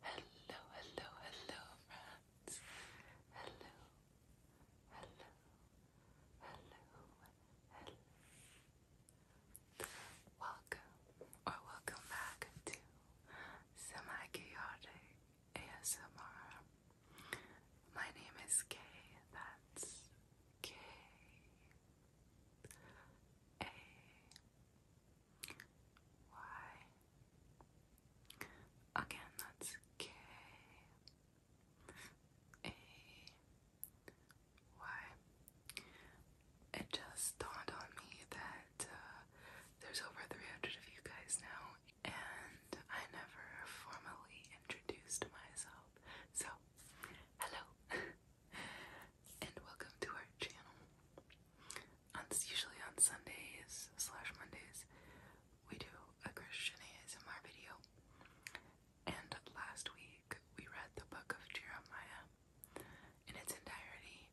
Hello, hello, hello, friends. Hello, hello, hello, hello. Welcome or welcome back to Semi Chaotic ASMR. My name is Kay. That's K. A Y. Again, that's K A Y. It just dawned on me that uh, there's over 300 of you guys now, and I never formally introduced myself. So, hello. and welcome to our channel. usually on Sundays slash Mondays, we do a Christian ASMR video. And last week we read the book of Jeremiah in its entirety,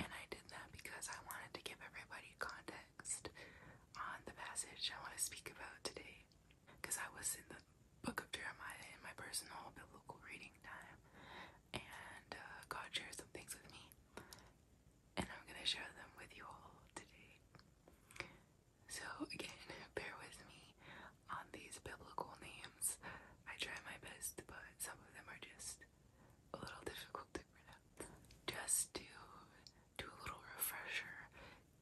and I did that because I wanted to give everybody context on the passage I want to speak about today. Because I was in the book of Jeremiah in my personal biblical reading time, and uh, God shares some things with me, and I'm gonna share them with you all today. So, again, bear with me on these biblical names. I try my best, but some of them are just a little difficult to pronounce. Just to do a little refresher,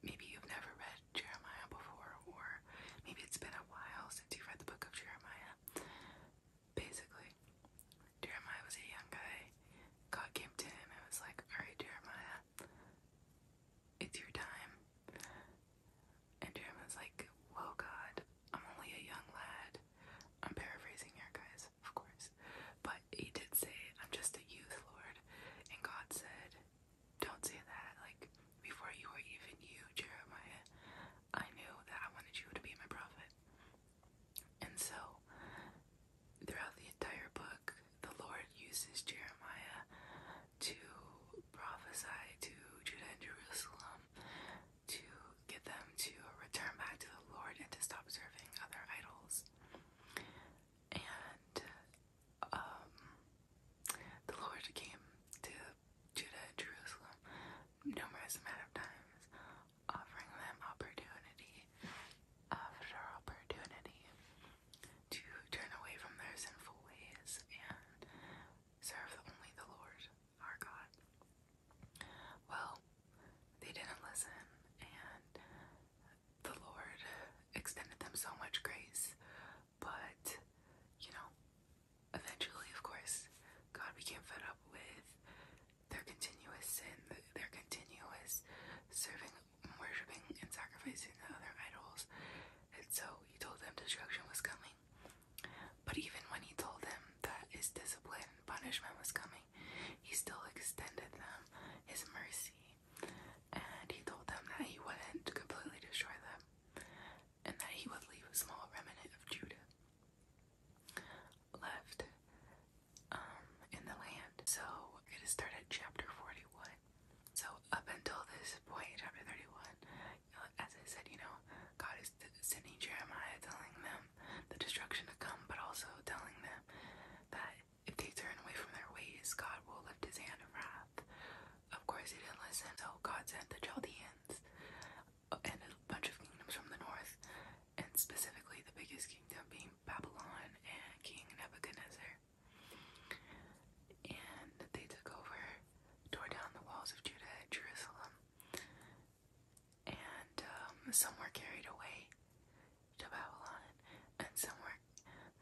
maybe you've never read Jeremiah before, or maybe it's been a while since you read the book of Jeremiah basically. Jeremiah was a young guy. God came to him and was like, Alright, Jeremiah, it's your time. And was like, Whoa, God, I'm only a young lad. I'm paraphrasing here, guys, of course. But he did say, I'm just a youth, Lord. And God said, Don't say that. Like, before you were even you, Jeremiah, I knew that I wanted you to be my prophet. And so, throughout the entire book, the Lord uses Jeremiah to prophesy to Judah and Jerusalem to get them to return back to the Lord and to stop serving other idols. And um, the Lord came to Judah Jerusalem numerous amount of times, offering them opportunity after opportunity to turn away from their sinful ways and serve only the Lord our God. Well, they didn't listen, and the Lord extended them so much grace, but you know, eventually, of course, God became fed up with their continuous sin, their continuous serving, worshiping, and sacrificing to other idols. And so he told them destruction was coming. But even when he told them that his discipline and punishment was coming, he still extended them his mercy. And he told them that he wouldn't completely destroy them and that he would leave a small remnant of Judah left um, in the land. So we're going to start at chapter 41. So up until this point, chapter 31, uh, as I said, you know, God is sending Jeremiah telling them the destruction to come, but also telling them that if they turn away from their ways, God will lift his hand of wrath of course, he didn't listen. So God sent the Chaldeans uh, and a bunch of kingdoms from the north, and specifically the biggest kingdom being Babylon and King Nebuchadnezzar. And they took over, tore down the walls of Judah and Jerusalem, and um, some were carried away to Babylon, and some were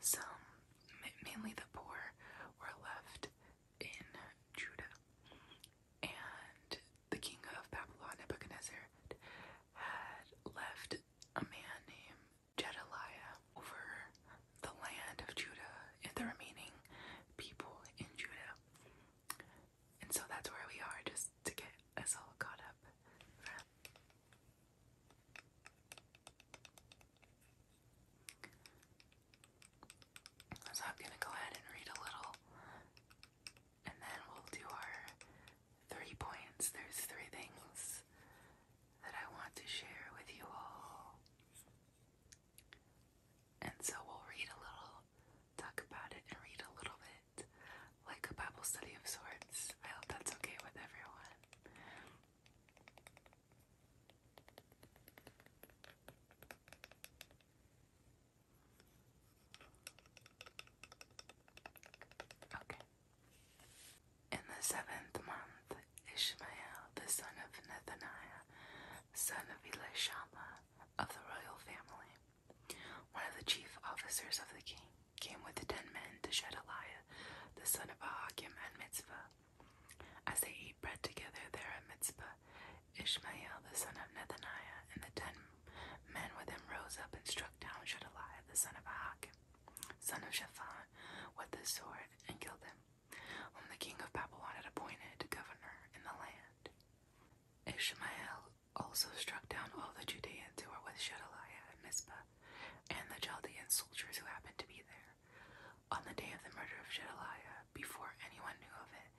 some mainly the poor were left in Judah. And the king of Babylon, Nebuchadnezzar, had left a man named Jedediah over the land of Judah and the remaining people in Judah. And so that's where we are, just to get us all caught up. So I'm gonna go ahead and read a little, and then we'll do our three points. There's three things that I want to share with you all. And so we'll read a little, talk about it, and read a little bit like a Bible study of sorts. I hope that's okay with everyone. In the seventh month, Ishmael, the son of Nethaniah, son of Elishama, of the royal family, one of the chief officers of the king, came with ten men to Shedaliah, the son of Ahakim and Mitzvah, as they ate bread together there at Mitzvah, Ishmael the son of Nethaniah and the ten men with him rose up and struck down Shedaliah the son of Ahak, son of Shaphan, with the sword and killed him, When the king of Babylon had appointed governor in the land. Ishmael also struck down all the Judeans who were with Shedaliah at Mizpah, and the Chaldean soldiers who happened to be there, on the day of the murder of Shedaliah, before anyone knew of it,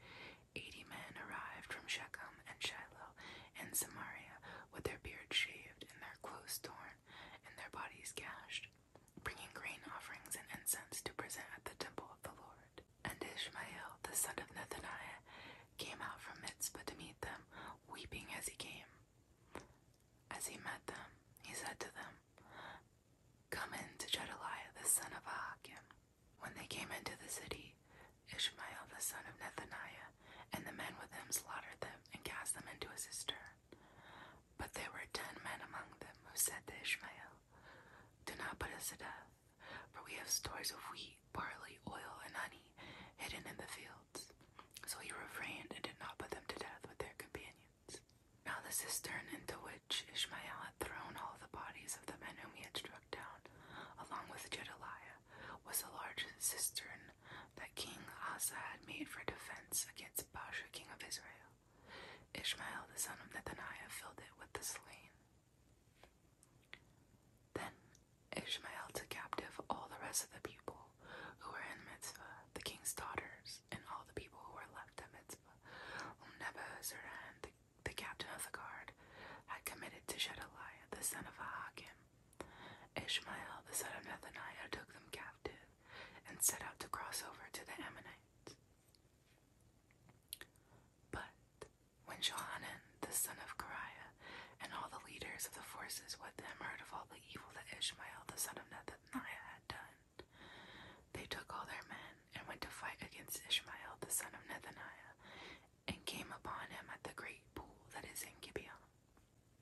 eighty men arrived from Shechem and Shiloh and Samaria with their beards shaved and their clothes torn and their bodies gashed, bringing grain offerings and incense to present at the temple of the Lord. And Ishmael, the son of Nethaniah, came out from Mitzvah to meet them, weeping as he came. As he met them, he said to them, come in to Jedediah the son of Ahachim. When they came into the city, Ishmael the son of Nethaniah and the men with him slaughtered them and cast them into a cistern. But there were ten men among them who said to Ishmael, Do not put us to death, for we have stores of wheat, barley, oil, and honey hidden in the fields. So he refrained and did not put them to death with their companions. Now the cistern into which Ishmael had thrown all the bodies of the men whom he had struck down, along with Jedediah, was a large cistern that King Asa had made for defense against Baasha, king of Israel. Ishmael, the son of Nethaniah, filled it with the slain. Then Ishmael took captive all the rest of the people who were in Mitzvah, the king's daughters, and all the people who were left at Mitzvah. Nebuzaradan, the, the captain of the guard, had committed to shed a lie. the son of Ahakim. Ishmael, the son of Nethaniah, took them captive and set out to cross over to the Ammonites. But when Johanan, the son of Kariah, and all the leaders of the forces with them heard of all the evil that Ishmael, the son of Nethaniah, had done, they took all their men and went to fight against Ishmael the son of Nethaniah, and came upon him at the great pool that is in Gibeah.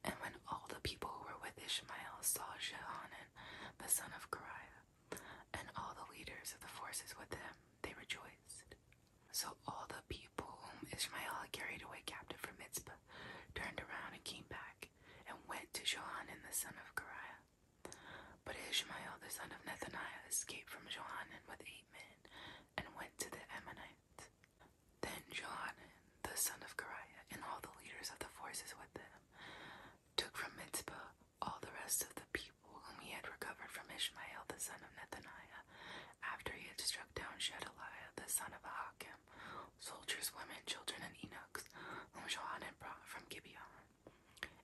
And when all the people who were with Ishmael saw Jehanan the son of Kariah, and all the leaders of the forces with them, they rejoiced. So all the people whom Ishmael had carried away captive from Mizpah turned around and came back, and went to Johanan the son of Kariah, but Ishmael, the son of Nethaniah, escaped from Johanan with eight men and went to the Ammonites. Then Johanan, the son of Kariah, and all the leaders of the forces with him, took from Mitzpah all the rest of the people whom he had recovered from Ishmael, the son of Nethaniah, after he had struck down Shedaliah, the son of Ahakam, soldiers, women, children, and Enoch. Cox, whom from Gibeon,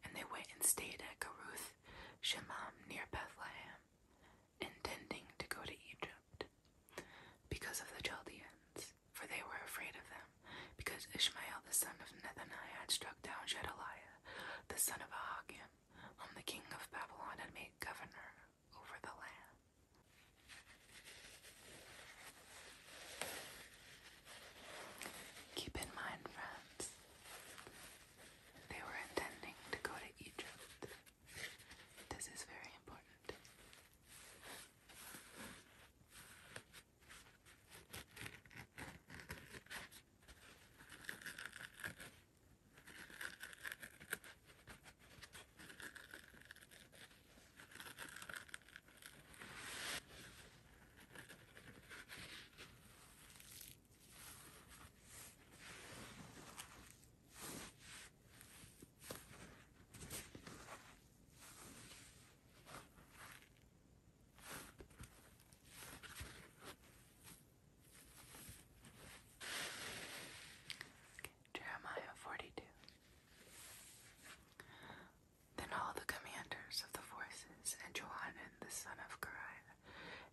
and they went and stayed at Geruth, Shemham near Bethlehem, intending to go to Egypt because of the Chaldeans, for they were afraid of them, because Ishmael the son of Nethaniah had struck down Jedaliah, the son of Ahagim, whom the king of Babylon had made governor over the land. Keep in mind, friends, they were intending to go to Egypt. This is very important. Jeremiah 42. Then all the commanders of the forces, and Johanan the son of Kariah,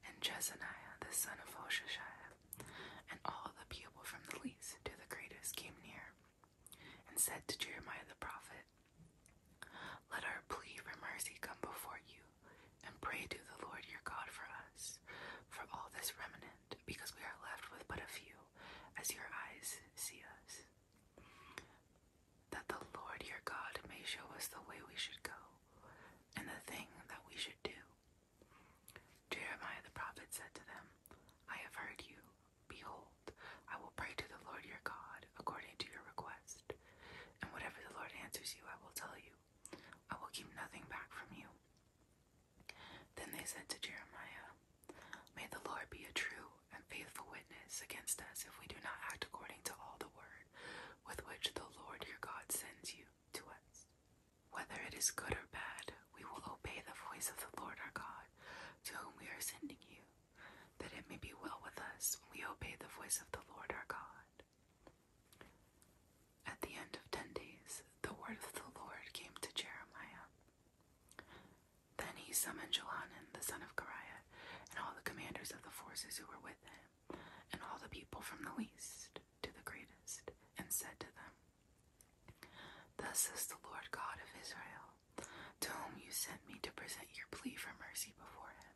and Jezaniah the son of Hoshashiah, and all the people from the least to the greatest came near, and said to Jeremiah the prophet, Let our plea for mercy come before you, and pray to the Lord your God for us, for all this remnant, because we are left with but a few, as your eyes see us that the Lord your God may show us the way we should go and the thing that we should do. Jeremiah the prophet said to them, I have heard you. Behold, I will pray to the Lord your God according to your request, and whatever the Lord answers you, I will tell you. I will keep nothing back from you. Then they said to Jeremiah, May the Lord be a true and faithful witness against us if we do not act according to all the word with which the Lord your God sends you to us. Whether it is good or bad, we will obey the voice of the Lord our God to whom we are sending you, that it may be well with us when we obey the voice of the Lord our God. At the end of ten days, the word of the Lord came to Jeremiah. Then he summoned Johanan, the son of Kariah, and all the commanders of the forces who were with him, and all the people from the least to the greatest, and said to them, Thus is the Lord God of Israel, to whom you sent me to present your plea for mercy before him.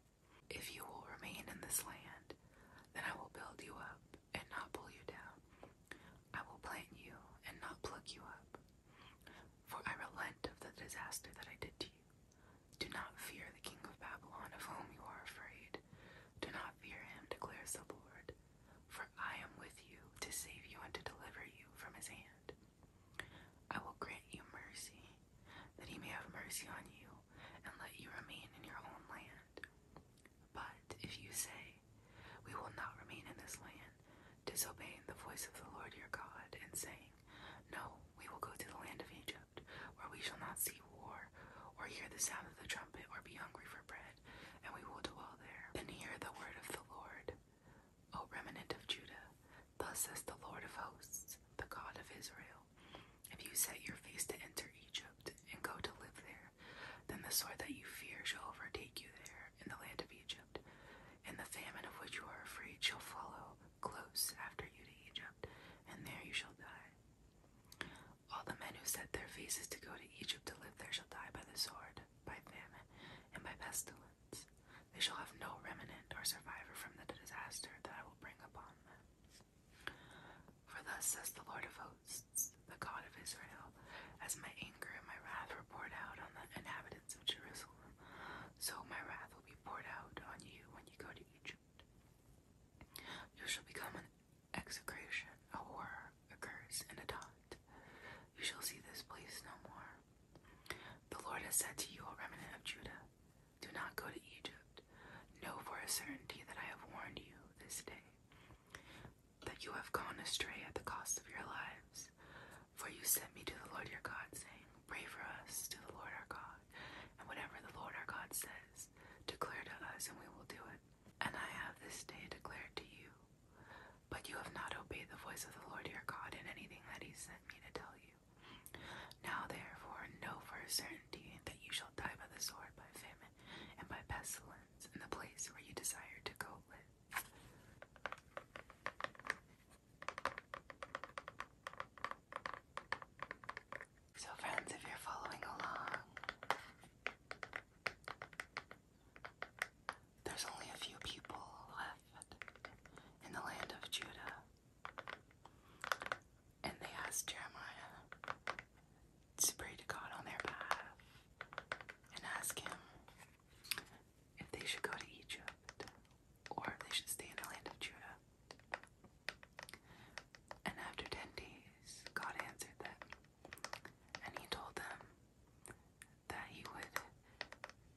If you will remain in this land, then I will build you up and not pull you down. I will plant you and not pluck you up for I relent of the disaster that I did to you. Do not fear the king of Babylon, of whom you are afraid. Do not fear him, declares the Lord, for I am with you to save you and to deliver you from his hand. I will grant you mercy, that he may have mercy on you, and let you remain in your own land. But if you say, we will not remain in this land, disobeying the voice of the Lord your God, and saying, No, we will go to the land of Egypt, where we shall not see war, or hear the sound of the trumpet, or be hungry for bread, and we will dwell there. Then hear the word of the Lord. O remnant of Judah, thus says the Lord of hosts, the God of Israel, if you set your face to enter Egypt and go to live there, then the sword that you fear shall overtake you there in the land of Egypt. and the famine of which you are afraid shall follow close after you to Egypt, and there you shall die. All the men who set their faces to go to Egypt to live there shall die by the sword, by famine, and by pestilence. They shall have no remnant or survivor from the disaster that I will bring upon them. For thus says the Lord of hosts, the God of Israel as my anger and my wrath were poured out on the inhabitants of Jerusalem, so my wrath will be poured out on you when you go to Egypt. You shall become an execration, a horror, a curse, and a taunt. You shall see this place no more. The Lord has said to you, O remnant of Judah, do not go to Egypt. Know for a certainty that I have warned you this day that you have gone astray at the cost of your lives. For you sent me to the Lord your God, saying, Pray for us to the Lord our God, and whatever the Lord our God says, declare to us, and we will do it. And I have this day declared to you. But you have not obeyed the voice of the Lord your God in anything that he sent me to tell you. Now therefore know for a certainty that you shall die by the sword, by famine, and by pestilence, in the place where you desired to go live. So, friends, if you're following along, there's only a few people left in the land of Judah. And they ask Jeremiah to pray to God on their behalf and ask Him if they should go to Egypt, or if they should stay in the land of Judah. And after ten days, God answered them, and he told them that he would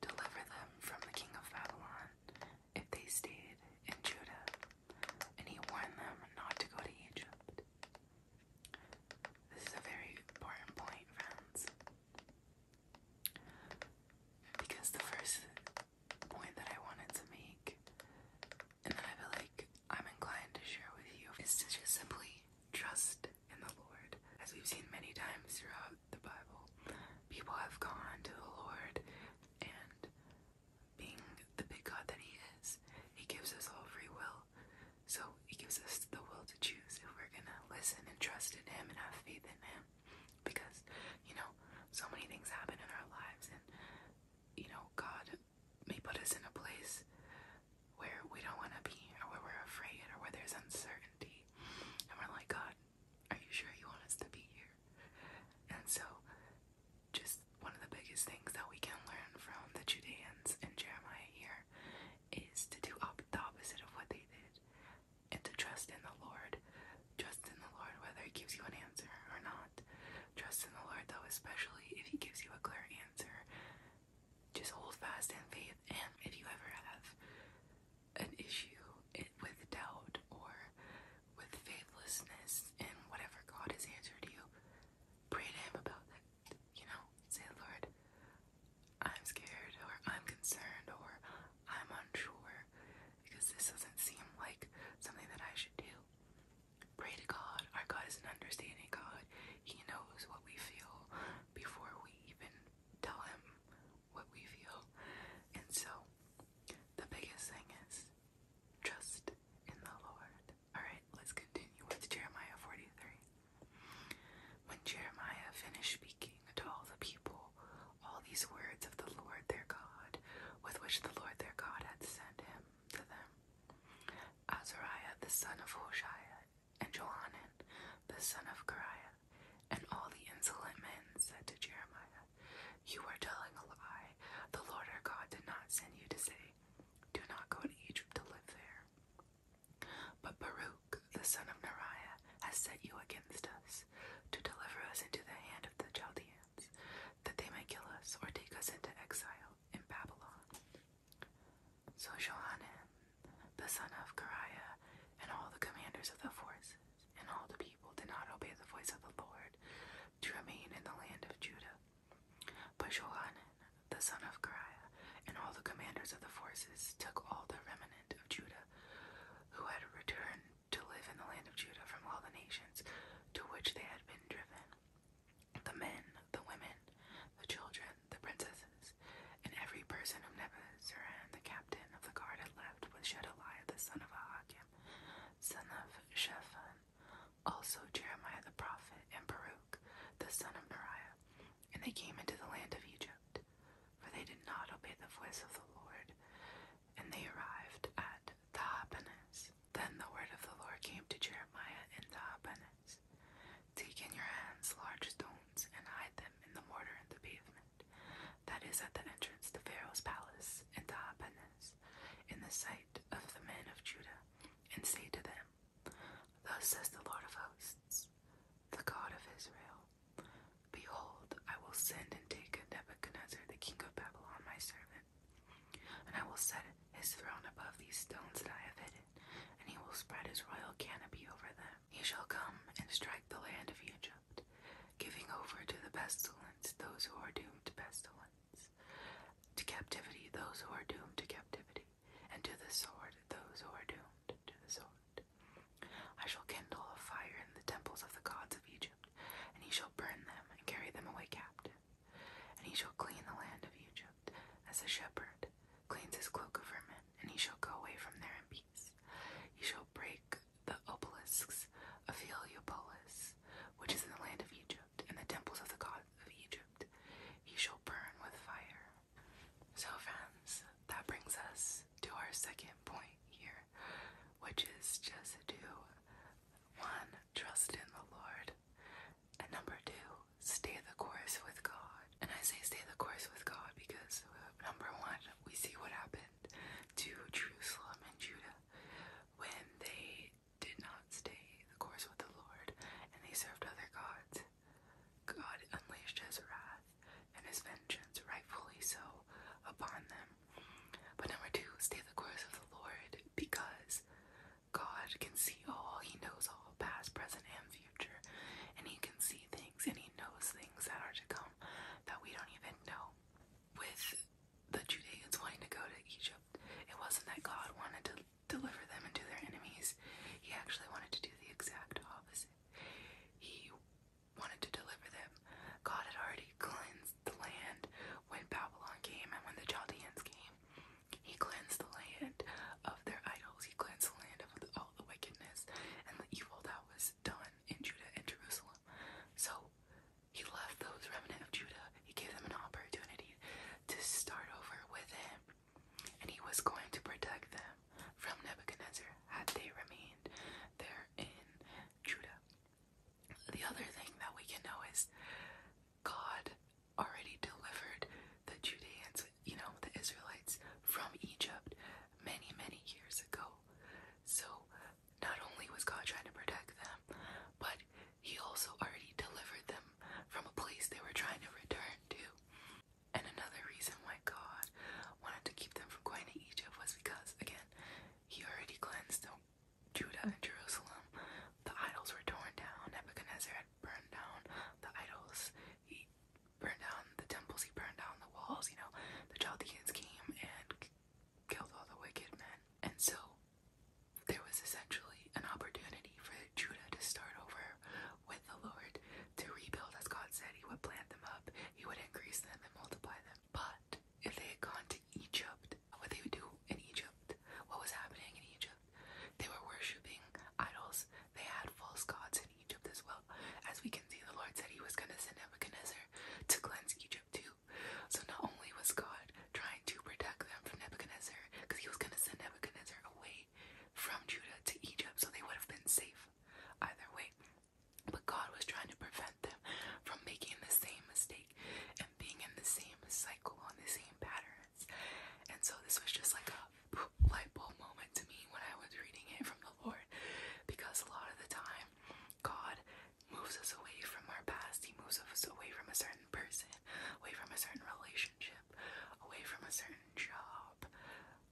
deliver them from the king of Babylon if they stayed in Judah, and he warned them not to go to Egypt. This is a very important point, friends. Because the first point that I wanted to make, and I feel like I'm inclined to share with you, is to just simply trust in the Lord. As we've seen many times throughout the Bible, people have gone to the Lord, and being the big God that He is, He gives us all free will. So it gives us the will to choose if we're gonna listen and trust in Him and have faith in Him. Because, you know, so many things happen in our lives, and, you know, God may put us in a place where we don't wanna be, or where we're afraid, or where there's uncertainty. And we're like, God, are you sure you want us to be here? And so, just one of the biggest things that we can learn from the Judeans and Jeremiah here is to do up the opposite of what they did and to trust in the Lord. Trust in the Lord whether He gives you an answer or not. Trust in the Lord though, especially if He gives you a clear answer. Just hold fast in faith, and if you ever have an issue with doubt or with faithlessness in whatever God has answered you, pray to Him about that you know, say, Lord, I'm scared, or I'm concerned, or I'm unsure, because this doesn't seem like something that I should do. Pray to God. Our God is an understanding God. He knows what we feel before we even tell Him what we feel. And so, the biggest thing is trust in the Lord. Alright, let's continue with Jeremiah 43. When Jeremiah finished speaking to all the people all these words of the Lord their God, with which the Lord their God had sent him to them, Azariah the son of Hoshiah, and Johanan the son of Kariah, and all the insolent men said to Jeremiah, You are telling a lie. The Lord our God did not send you to say, Do not go to Egypt to live there. But Baruch, the son of Neriah, has set you against us, to deliver us into the hand of the Chaldeans, that they may kill us or take us into exile in Babylon. So Johanan, the son of Kariah, and all the commanders of the forces, and all the people did not obey the voice of the Lord to remain in the land of Judah. But Johanan, the son of Kariah, and all the commanders of the forces took all the remnant of Judah who had returned to live in the land of Judah from all the nations to which they had been driven the men, the women, the children, the princesses, and every person whom Nebuzaradan, the captain of the guard, had left with Shedaliah the son of Ahagim, son of Shaphan, also Jeremiah the prophet, and Baruch the son of Neriah, and they came into the land of Egypt, for they did not obey the voice of the Lord, and they arrived at Tahapanhes. Then the word of the Lord came to Jeremiah in Tahapanhes. Take in your hands large stones and hide them in the mortar in the pavement, that is at the entrance to Pharaoh's palace in Tahapanhes, in the sight of the men of Judah, and say to them, Thus says the Lord of hosts, the God of Israel Behold, I will send and take Nebuchadnezzar, the king of Babylon, my servant, and I will set his throne above these stones that I have hidden, and he will spread his royal canopy over them. He shall come and strike the land of Egypt, giving over to the pestilence those who are doomed to pestilence, to captivity those who are doomed to captivity and to the sword those who are doomed to the sword. I shall kindle a fire in the temples of the gods of Egypt, and he shall burn them and carry them away captive. And he shall clean the land of Egypt as a shepherd cleans his cloak of vermin, and he shall go away from there in peace. He shall break the obelisks of Heliopolis, which is in the land of Egypt, and the temples of the gods of Egypt. He shall burn with fire. So, friends, that brings us to our second point here, which is just to one, trust in the Lord, and number two, stay the course with God. And I say stay the course with God because number one, we see what happened to Jerusalem and Judah when they did not stay the course with the Lord and they served other gods. God unleashed his wrath and his vengeance, rightfully so, upon them. But number two, stay the course of the Lord, because God can see all, he knows all, past, present, and future, and he can see things and he knows things that are to come that we don't even know. With the Judeans wanting to go to Egypt, it wasn't that God wanted to deliver them and to their enemies. He actually wanted to do the exact opposite. He wanted to deliver them. God had already cleansed the land when Babylon came and when the Chaldeans came. He cleansed the land of their idols. He cleansed the land of all the wickedness and the evil that was done in Judah and Jerusalem. So he left those remnant of Judah. He gave them an opportunity to start over with him and he was going to protect them from Nebuchadnezzar had they remained there in Judah. The other thing that we can know is God already delivered the Judeans, you know, the Israelites from Egypt many, many years ago. So not only was God trying to protect them, but he also already delivered them from a place they were trying to return to. And another reason why God wanted to keep them from going to Egypt was because, again, he already cleansed Judah and Jerusalem. The idols were torn down. Nebuchadnezzar had burned down the idols. He burned down the temples. He burned down the walls. You know, the Chaldeans came and killed all the wicked men. And so there was essentially an opportunity for Judah to start over with the Lord, to rebuild as God said, He would plant them up, He would increase them, and multiply them. But if they had gone to Egypt, what they would do in Egypt, what was happening in Egypt, they were worshipping idols. They had false gods in Egypt as well. As we can see, the Lord said He was going to send Nebuchadnezzar to cleanse Egypt too. So not only was God trying to protect them from Nebuchadnezzar because he was going to send Nebuchadnezzar away from Judah to Egypt, so they would have been safe either way. But God was trying to prevent them from making the same mistake and being in the same cycle on the same patterns. And so this was just like a light bulb moment to me when I was reading it from the Lord, because a lot of the time, God moves us away from our past, He moves us away from a certain person away from a certain relationship, away from a certain job,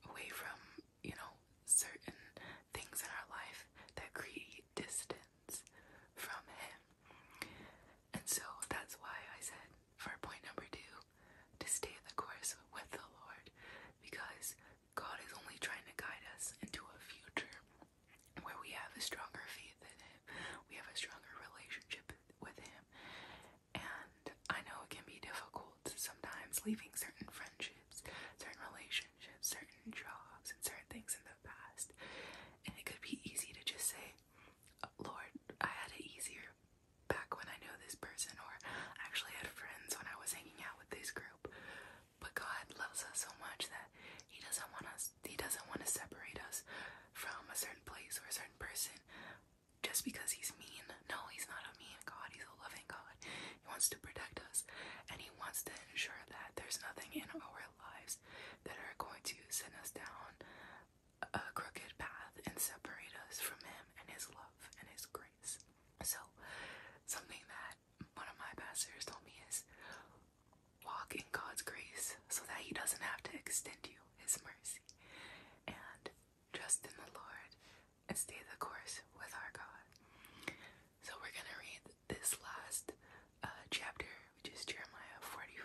away from, you know, certain things in our life that create distance from Him. And so that's why I said for point number two to stay the course with the Lord because God is only trying to guide us into a future where we have a stronger faith in Him, we have a stronger relationship with him. And I know it can be difficult sometimes leaving certain friendships, certain relationships, certain jobs, and certain things in the past. And it could be easy to just say, Lord, I had it easier back when I knew this person, or I actually had friends when I was hanging out with this group. But God loves us so much that He doesn't want us, He doesn't want to separate us from a certain place or a certain person just because he's mean. No, he's not a mean God. He's a loving God. He wants to protect us and he wants to ensure that there's nothing in our lives that are going to send us down a crooked path and separate us from him and his love and his grace. So, something that one of my pastors told me is walk in God's grace so that He doesn't have to extend you His mercy. And trust in the Lord and stay the course with our God. So we're going to read this last uh, chapter, which is Jeremiah 44,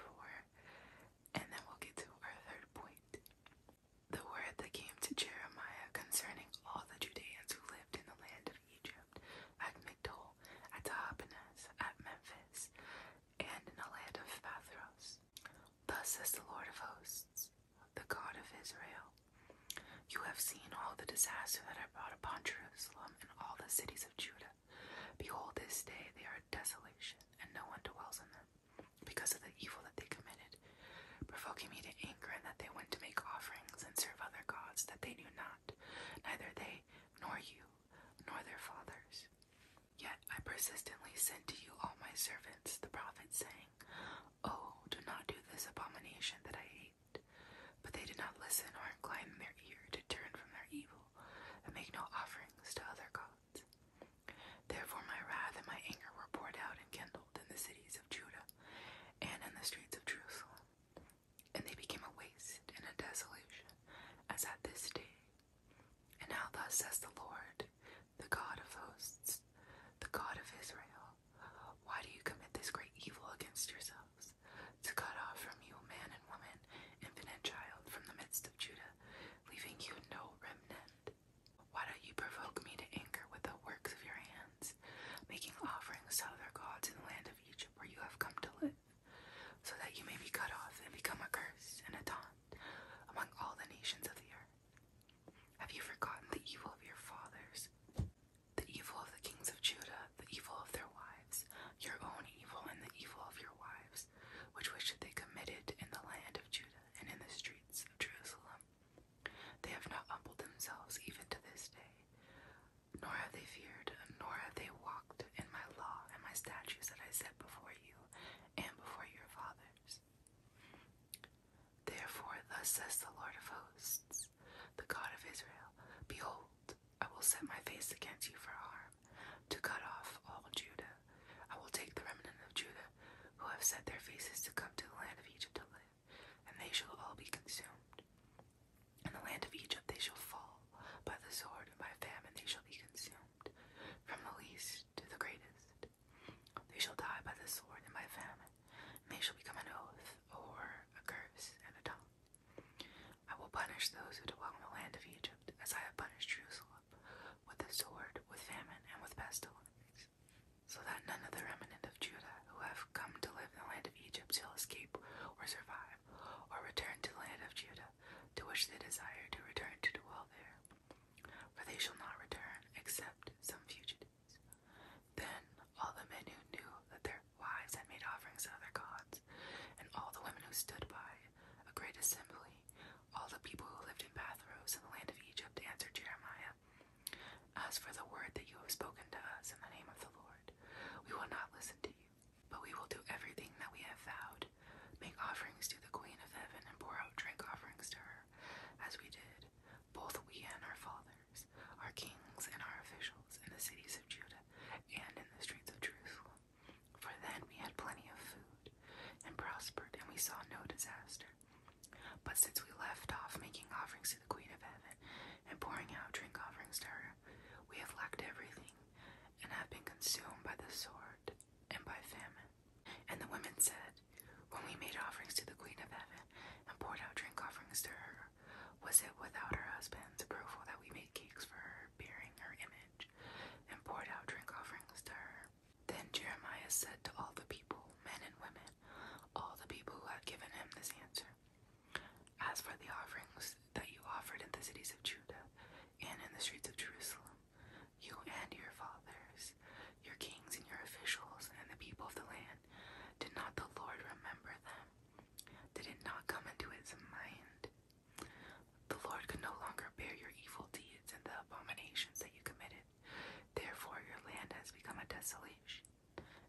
and then we'll get to our third point. The word that came to Jeremiah concerning all the Judeans who lived in the land of Egypt, at Migdol, at Tahapanhes, at Memphis, and in the land of Pathros. Thus says the Lord of hosts, the God of Israel You have seen all the disaster that I brought upon Jerusalem and all the cities of Judah. Behold, this day they are desolation, and no one dwells in them, because of the evil that they committed, provoking me to anger, and that they went to make offerings and serve other gods that they knew not, neither they nor you nor their fathers. Yet I persistently sent to you all my servants, the prophets, saying, Oh, do not do this abomination that I hate. But they did not listen or incline their ear to turn from their evil and make no offerings to other gods. Therefore my wrath and my anger were poured out and kindled in the cities of Judah and in the streets of Jerusalem. And they became a waste and a desolation, as at this day and now, thus says the Lord, the God of hosts, the God of Israel, why do you commit this great evil against yourselves? To cut off from you man and woman, infant and child, from the midst of Judah, leaving you no remnant. Why don't you provoke me to anger with the works of your hands, making offerings to other gods in the land of Egypt where you have come to live? so that you may be cut off and become a curse and a taunt among all the nations of the earth. Have you forgotten the evil of your fathers, the evil of the kings of Judah, the evil of their wives, your own evil and the evil of your wives, which which they committed in the land of Judah and in the streets of Jerusalem? They have not humbled themselves even to this day, nor have they feared, nor have they walked in my law and my statutes that I set before you and before your fathers. Therefore, thus says the Lord of hosts, the God of Israel Behold, I will set my face against you for harm, to cut off all Judah. I will take the remnant of Judah, who have set their faces to come to the land of Egypt to live, and they shall all be consumed. In the land of Egypt they shall fall by the sword and by famine they shall be consumed, from the least to the greatest. They shall die by the sword and by famine, and they shall become an oath, or a curse, and a tongue. I will punish those who dwell in the land of Egypt, as I have punished Jerusalem, with the sword, with famine, and with pestilence, so that none of the remnant of Judah who have come to live in the land of Egypt shall escape or survive, or return to the land of Judah, to which they desire to return to dwell there. For they shall not return except some fugitives. Then all the men who knew that their wives had made offerings to other gods, and all the women who stood by, a great assembly, all the people who lived in Pathros in the land of Egypt answered Jeremiah, As for the word that you have spoken to us in the name of the Lord, we will not listen to you. But we will do everything that we have vowed, make offerings to the Queen of Heaven, and pour out drink offerings to her, as we did, both we and our fathers, our kings and our officials, in the cities of Judah and in the streets of Jerusalem. For then we had plenty of food, and prospered, and we saw no disaster. But since we left off making offerings to the Queen of Heaven, and pouring out drink offerings to her, we have lacked everything, and have been consumed by the sword and by famine. And the women said, When we made offerings to the Queen of Heaven and poured out drink offerings to her, was it without her husband's approval that we made cakes for her, bearing her image, and poured out drink offerings to her? Then Jeremiah said to all the people, men and women, all the people who had given him this answer, As for the offerings that you offered in the cities of Judah and in the streets of Jerusalem, you and your fathers, your kings and your officials, and the people of the land. Did not the Lord remember them? Did it not come into his mind? The Lord could no longer bear your evil deeds and the abominations that you committed. Therefore, your land has become a desolation,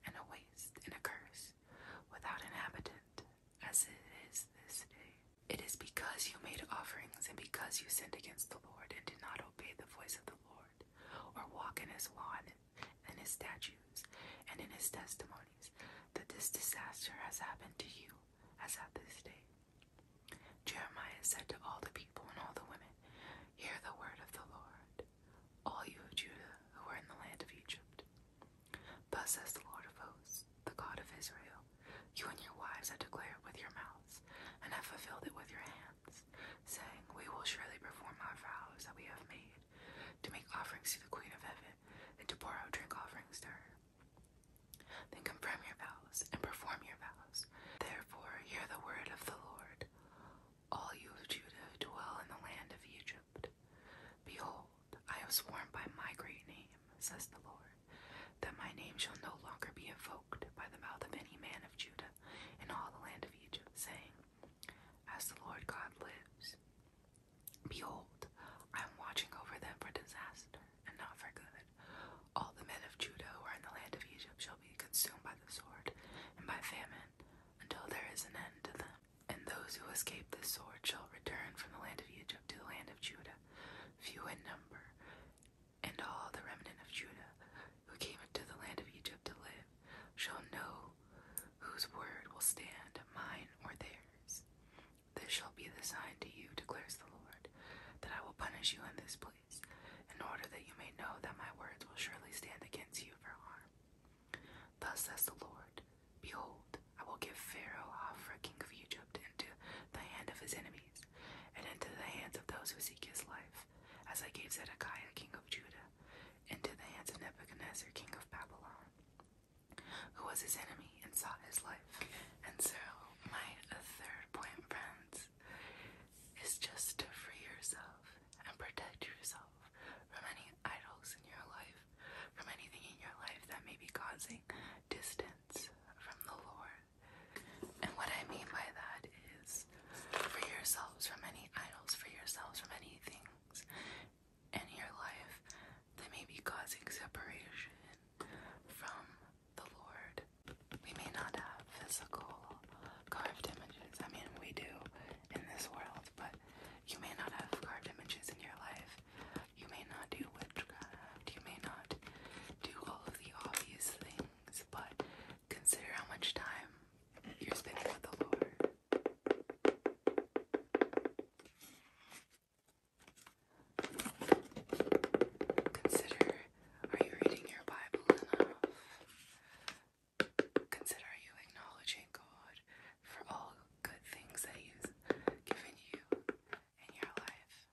and a waste, and a curse, without inhabitant as it is this day. It is because you made offerings and because you sinned against the Lord and did not obey the voice of the Lord, or walk in his law and his statutes and in his testimonies, that this disaster has happened to you as at this day. Jeremiah said to all the people and all the women, Hear the word of the Lord, all you Judah who are in the land of Egypt. Thus says the Lord of hosts, the God of Israel You and your wives have declared with your mouths, and have fulfilled it with your hands, saying, We will surely perform our vows that we have made, to make offerings to the Queen of Heaven, and to pour out drink offerings to her. Then confirm your vows, and perform your vows. Therefore, hear the word of the Lord. All you of Judah who dwell in the land of Egypt. Behold, I have sworn by my great name, says the Lord, that my name shall no longer be evoked by the mouth of any man of Judah in all the land of Egypt, saying, As the Lord God lives, behold, I am watching over them for disaster and not for good. All the men of Judah who are in the land of Egypt shall be consumed by the sword and by famine until there is an end to them. And those who escape this sword shall return from the land of Egypt to the land of Judah, few in number, and all the remnant of Judah who came into the land of Egypt to live shall know whose word will stand, mine or theirs. This shall be the sign to you, declares the Lord, that I will punish you in this place, in order that you may know that my words will surely stand against you for harm. Thus says the Lord Behold, I will give Pharaoh, Hophra, king of Egypt, into the hand of his enemies, and into the hands of those who seek his life, as I gave Zedekiah, king of Judah, into the hands of Nebuchadnezzar, king of Babylon, who was his enemy and sought his life. And so, my third point, friends, is just to free yourself and protect yourself from any idols in your life from anything in your life that may be causing distance from the Lord. And what I mean by that is for yourselves from any idols, for yourselves from any things in your life that may be causing separation from the Lord. We may not have physical carved images. I mean, we do in this world, but you may not have carved images in your life you may not do witchcraft. You may not do all of the obvious things, but consider how much time you're spending with the Lord. Consider are you reading your Bible enough? Consider are you acknowledging God for all good things that He has given you in your life.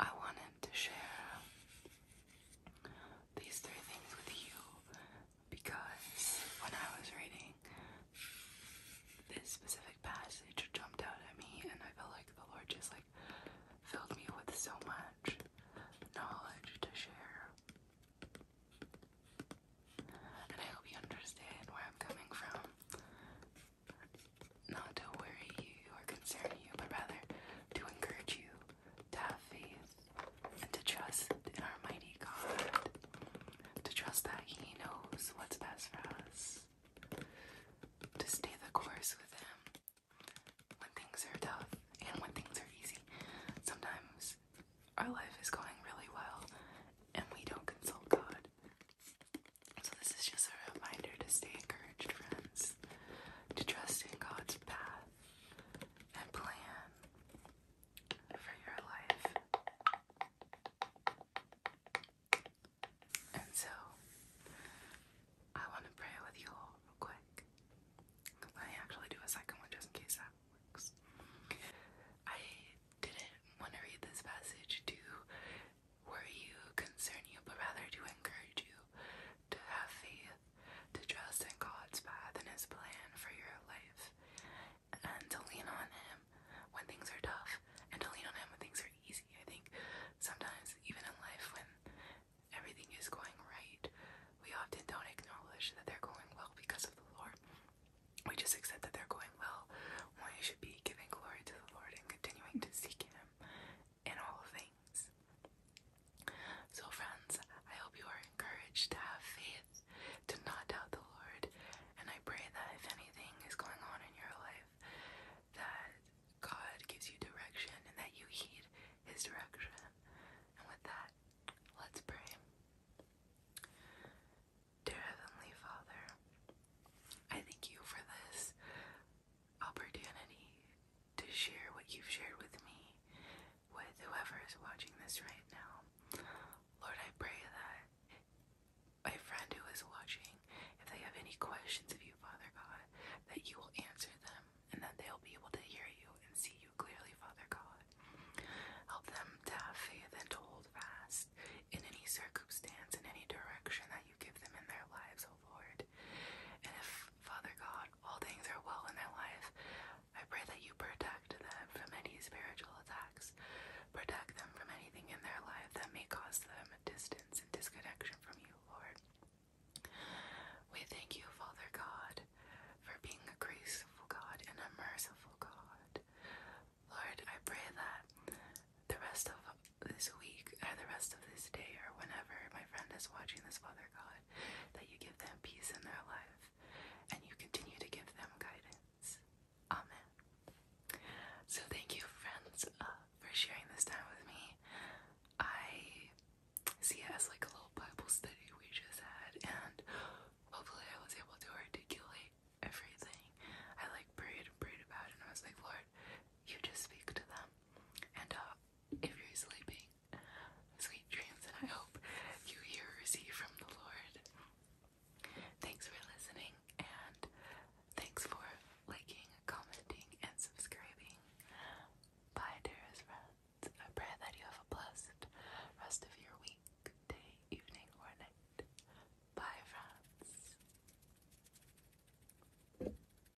I want to share these three things with you because when I was reading this specific passage jumped out at me and I felt like the Lord just like filled me with so much knowledge to share. And I hope you understand where I'm coming from. Not to worry you or concern you, but rather to encourage you to have faith and to trust in our mighty God, to trust that He knows what's best for us, to stay the course with Him when things are tough and when things are easy. Sometimes our life is going really well and we don't consult God. So, this is just a reminder to stay encouraged, friends, to trust in God's path and plan for your life. And so, I want to pray with you all real quick. I actually do a second one just in case that works. I didn't want to read this passage to worry you, concern you, but rather to encourage you to have faith, to trust in God's path and His plan for your life, and to lean on Him when things are tough, and to lean on Him when things are easy. I think sometimes, even in life, when everything is going right, we often don't acknowledge that they're going well because of the Lord. We just accept that they're going well when we should be giving glory to the Lord and continuing to seek Him in all things. So, friends, I hope you are encouraged to have faith, to not doubt the Lord, and I pray that if anything is going on in your life, that God gives you direction and that you heed His direction. And with that, let's pray. Dear Heavenly Father, I thank you for this opportunity to share what you've shared with me, with whoever is watching this right now. Lord, I pray that a friend who is watching, if they have any questions of you, Father God, that you will answer them and that they'll be able to hear you and see you clearly, Father God. Help them to have faith and to hold fast in any circumstance, in any direction that you give them in their lives, O Lord. And if, Father God, all things are well in their life, I pray that you protect them from any spiritual attacks. Protect them from anything in their life that may cause them a distance and disconnection from you, Lord. We thank you, Father God, for being a graceful God and a merciful God. Lord, I pray that the rest of this week, or the rest of this day, or whenever my friend is watching this, Father God, that you give them peace in their life and you continue to give them guidance. Amen. So, thank you, friends, uh, for sharing this time with me. I see it as like a little Bible study we just had, and hopefully, I was able to articulate everything. I like prayed and prayed about and I was like, Lord, you just speak to them. And uh, if you're sleeping. Sweet dreams, and I hope you hear or see from the Lord. Thanks for listening, and thanks for liking, commenting, and subscribing. Bye, dearest friends. I pray that you have a blessed rest of your week, day, evening, or night. Bye, friends.